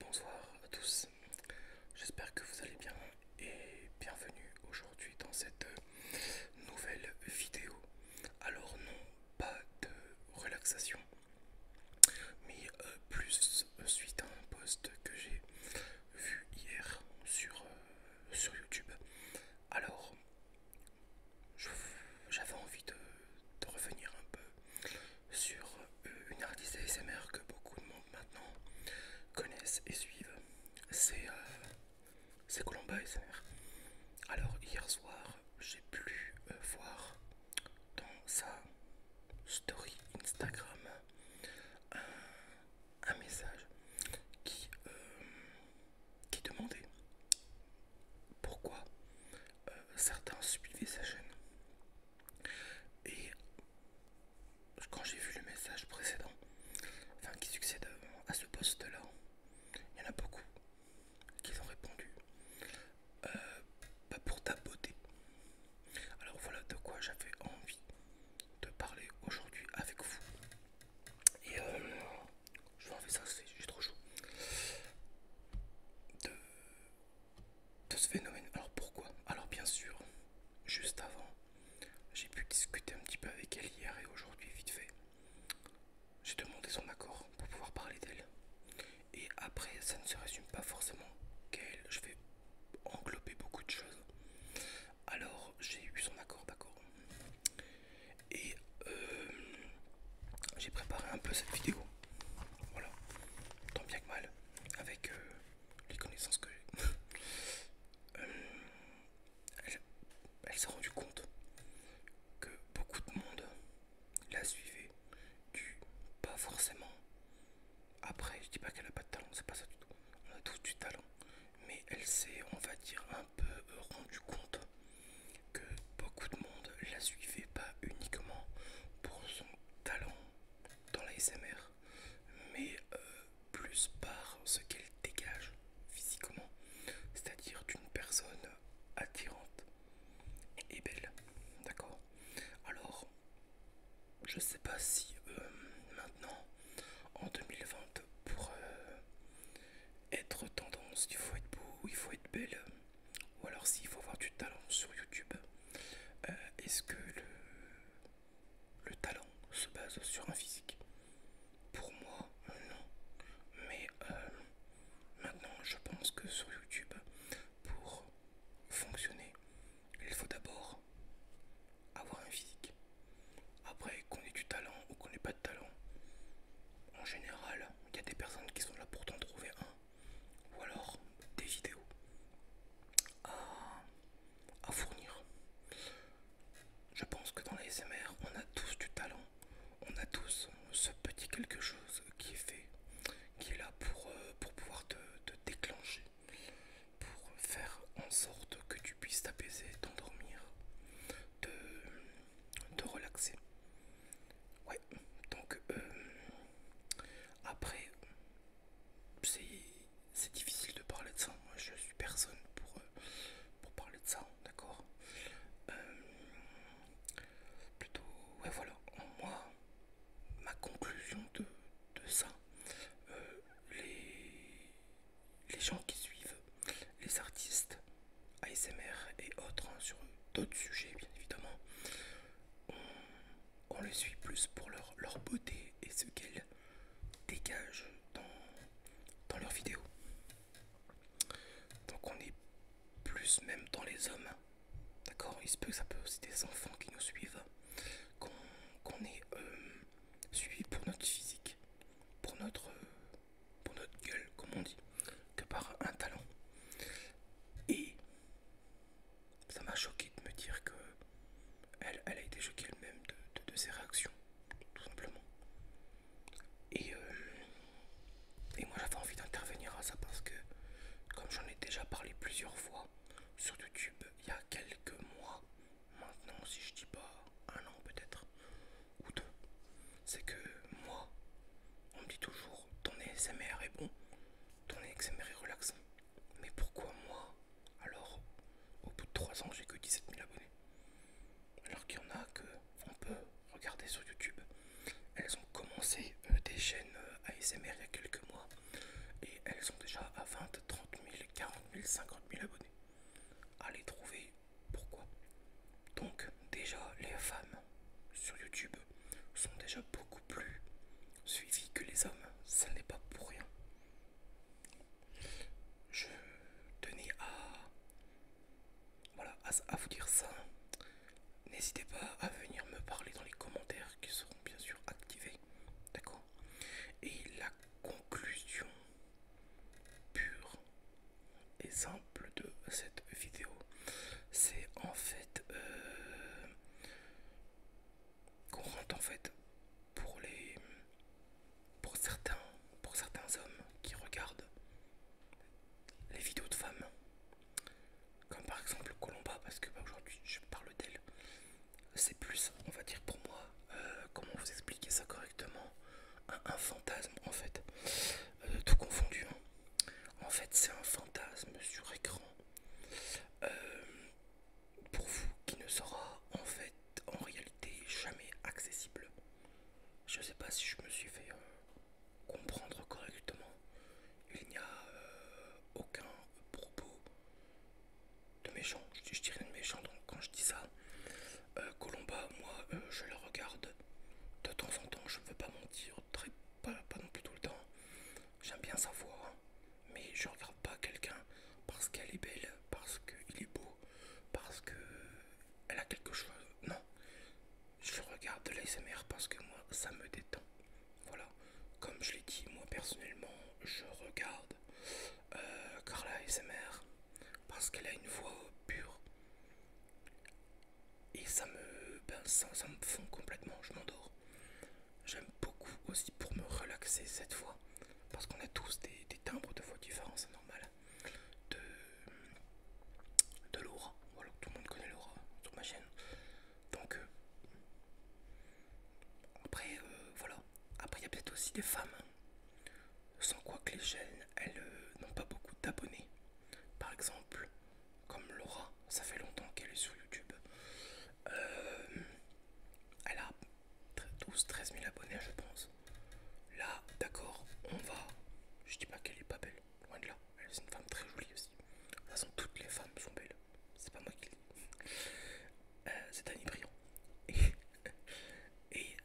Bonsoir à tous, j'espère que vous allez bien et bienvenue aujourd'hui dans cette euh, nouvelle vidéo. Alors non, pas de relaxation, mais euh, plus suite à un post que j'ai vu hier sur, euh, sur YouTube. Alors, j'avais envie de, revenir un peu sur euh, une artiste ASMR que beaucoup de monde maintenant connaissent et suivent. C'est euh, Colomba ASMR. Alors hier soir, j'ai pu euh, voir dans sa story Instagram un message qui, euh, qui demandait pourquoi euh, certains suivaient sa chaîne. Et quand j'ai vu le message précédent, enfin qui succède à ce poste-là, il y en a beaucoup qui ont répondu euh, pas pour ta beauté. Alors voilà de quoi j'avais envie de parler aujourd'hui avec vous. Et euh, je vais faire ça, j'ai trop chaud. De, de ce phénomène. Alors pourquoi Alors bien sûr, juste avant, j'ai pu discuter un petit peu avec elle hier et aujourd'hui vite fait. J'ai demandé son accord pour pouvoir parler d'elle. Et après, ça ne se résume pas forcément qu'elle. Je vais englober beaucoup de choses. Alors j'ai eu son accord, d'accord. Et euh, j'ai préparé un peu cette vidéo. Voilà. Tant bien que mal. Avec euh, les connaissances que j'ai. Euh, elle, elle s'est rendue compte que beaucoup de monde la suivait du pas forcément après, je dis pas qu'elle a pas de talent, c'est pas ça du tout. On a tous du talent, mais elle s'est, on va dire, un peu euh, rendu compte que beaucoup de monde la suivait pas uniquement pour son talent dans la SMR, mais euh, plus par ce qu'elle dégage physiquement, c'est-à-dire d'une personne attirante et belle, d'accord Alors, je sais pas si euh, maintenant en 2020 pour euh, être tendance il faut être beau, il faut être belle ou alors s'il faut avoir du talent sur YouTube euh, est-ce que le, talent se base sur un physique pour moi non mais maintenant je pense que sur YouTube pour fonctionner il faut d'abord avoir un physique. Après, qu'on ait du talent ou qu'on n'ait pas de talent, en général, il y a des personnes qui sont là pour t'en trouver un, ou alors des vidéos à, fournir. Je pense que dans les SMR, on a tous du talent, on a tous ce petit quelque chose qui est fait, qui est là pour, euh, pouvoir te déclencher pour faire en sorte que tu puisses t'apaiser, t'endormir, te, relaxer. Ouais, donc euh, après, c'est difficile de parler de ça. Moi, je suis personne pour, euh, pour parler de ça, d'accord euh, Plutôt, ouais, voilà. Moi, ma conclusion de, ça, euh, les, les gens qui suivent les artistes ASMR et autres hein, sur d'autres sujets bien évidemment, on, les suit plus pour leur, leur beauté et ce qu'elles dégagent dans, dans leurs vidéos. Donc on est plus même dans les hommes D'accord Il se peut que ça peut aussi des enfants qui nous suivent, qu'on est euh, suivi pour notre physique, pour notre, euh, pour notre gueule, comme on dit, que par un talent. Et ça m'a choqué de me dire que elle, a été choquée elle-même de, ses réactions, tout simplement. Et euh, et moi j'avais envie d'intervenir à ça parce que, comme j'en ai déjà parlé plusieurs fois sur YouTube il y a quelques mois, maintenant si je dis pas un an peut-être, ou deux, c'est que moi, on me dit toujours ton ASMR est bon, ton ASMR est relaxant. Mais pourquoi moi, alors, au bout de 3 ans j'ai que 17 000 abonnés alors qu'il y en a que on peut regarder sur YouTube. Elles ont commencé euh, des chaînes euh, ASMR il y a quelques mois et elles sont déjà à 20, 30 000, 40 000, 50 000 abonnés. Allez trouver pourquoi. Donc déjà les femmes sur YouTube sont déjà beaucoup plus suivies que les hommes. Ça n'est pas pour rien. Je tenais à voilà, à, vous dire ça. N'hésitez pas à venir me parler dans les commentaires qui seront bien sûr activés. D'accord Et la conclusion pure et simple de cette vidéo, c'est en fait euh, qu'on rentre en fait pour les pour certains pour certains hommes qui regardent les vidéos de femmes, comme par exemple Colomba, parce que bah, aujourd'hui je parle d'elle, c'est plus, on va dire pour moi, euh, comment vous expliquer ça correctement, un, fantasme en fait, euh, tout confondu. Hein. En fait, c'est un fantasme sur écran. Euh, pour vous qui ne sera en fait en réalité jamais accessible. Je sais pas si je me suis fait comprendre correctement, il n'y a euh, aucun propos de méchant. Je, de méchant, donc quand je dis ça, euh, Colomba, moi, euh, je la regarde de temps en temps, je ne veux pas mentir, très, pas, pas non plus tout le temps. J'aime bien sa voix, hein. mais je regarde pas quelqu'un parce qu'elle est belle, parce qu'il est beau, parce que elle a quelque chose. Non, je regarde de l'ASMR parce que moi ça me détend. Voilà, comme je l'ai dit, moi personnellement je regarde car euh, Carla ASMR parce qu'elle a une voix pure et ça me, ben, ça, fond complètement. Je m'endors. J'aime beaucoup aussi pour me relaxer cette voix parce qu'on a tous des timbres de voix différents, c'est normal de, Laura. Voilà, tout le monde connaît Laura sur ma chaîne. Donc, euh, après, euh, voilà. Après, il y a peut-être aussi des femmes sans quoi que les chaînes, elles euh, n'ont pas beaucoup d'abonnés. Par exemple, comme Laura, ça fait longtemps qu'elle est sur YouTube. elle a 12, 13 000 abonnés, je pense. Là, d'accord, on va. Je dis pas qu'elle est pas belle, loin de là. Elle est une femme très jolie aussi. De toute façon, toutes les femmes sont belles. C'est pas moi qui le dis. Euh, c'est Annie Briand. Et,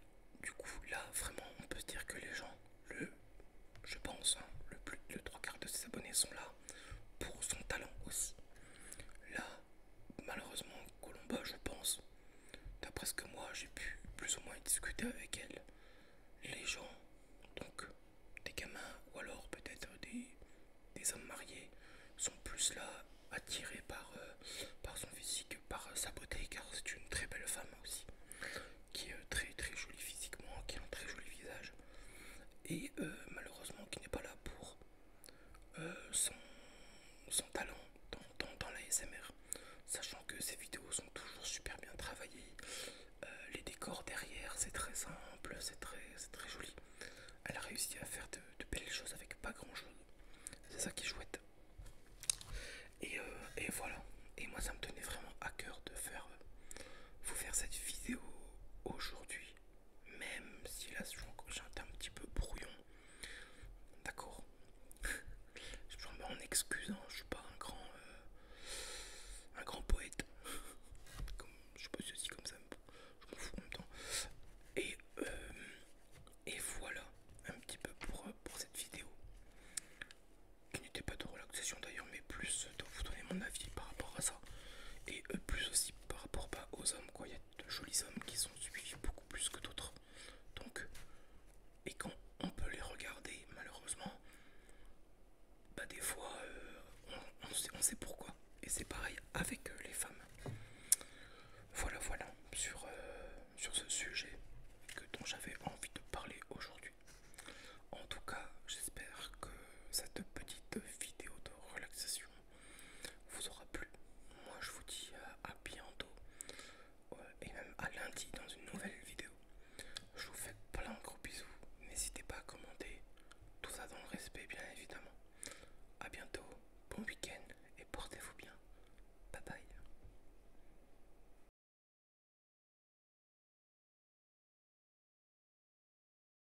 du coup, là, vraiment, on peut se dire que les gens, le, je pense, hein, le plus de trois quarts de ses abonnés sont là pour son talent aussi. Là, malheureusement, Colomba, je pense, D'après ce que moi j'ai pu plus ou moins discuter avec elle, les gens, donc des gamins ou alors peut-être des, hommes mariés, sont plus là attirés par, euh, par son physique, par sa beauté, car c'est une très belle femme aussi, qui est très très jolie physiquement, qui a un très joli visage, et euh, malheureusement qui n'est pas là pour euh, son, talent dans, la S.M.R. l'ASMR, sachant que ses vidéos sont toujours super bien travaillées. Euh, les décors derrière, c'est très simple, c'est très, très joli. Elle a réussi à faire de, belles choses avec pas grand chose. C'est ça qui est chouette. Et, euh, voilà. Et moi, ça me tenait vraiment à cœur de faire vous faire cette vidéo aujourd'hui, même si là j'ai suis un petit peu brouillon D'accord. Je me en excuse, hein. je suis pas un grand, euh, un grand poète. je peux aussi comme ça, je m'en fous en même temps. Et, euh, et voilà un petit peu euh, pour, cette vidéo. Qui n'était pas de relaxation d'ailleurs, mais plus de vous donner mon avis par rapport à ça. Et plus aussi par rapport pas bah, aux hommes, quoi de jolis hommes qui sont suivis beaucoup plus que d'autres. Donc, et quand on peut les regarder, malheureusement, bah des fois, euh, on, sait, on sait pourquoi. Et c'est pareil avec euh, les femmes. Voilà, voilà, sur, euh, sur ce sujet que, dont j'avais envie de parler aujourd'hui. En tout cas, j'espère que cette petite vidéo de relaxation vous aura plu. Moi je vous dis euh, à bientôt euh, et même à lundi dans une nouvelle vidéo. Je vous fais plein de gros bisous. N'hésitez pas à commenter. Tout ça dans le respect bien évidemment. à bientôt, bon week-end et portez-vous bien. Bye bye.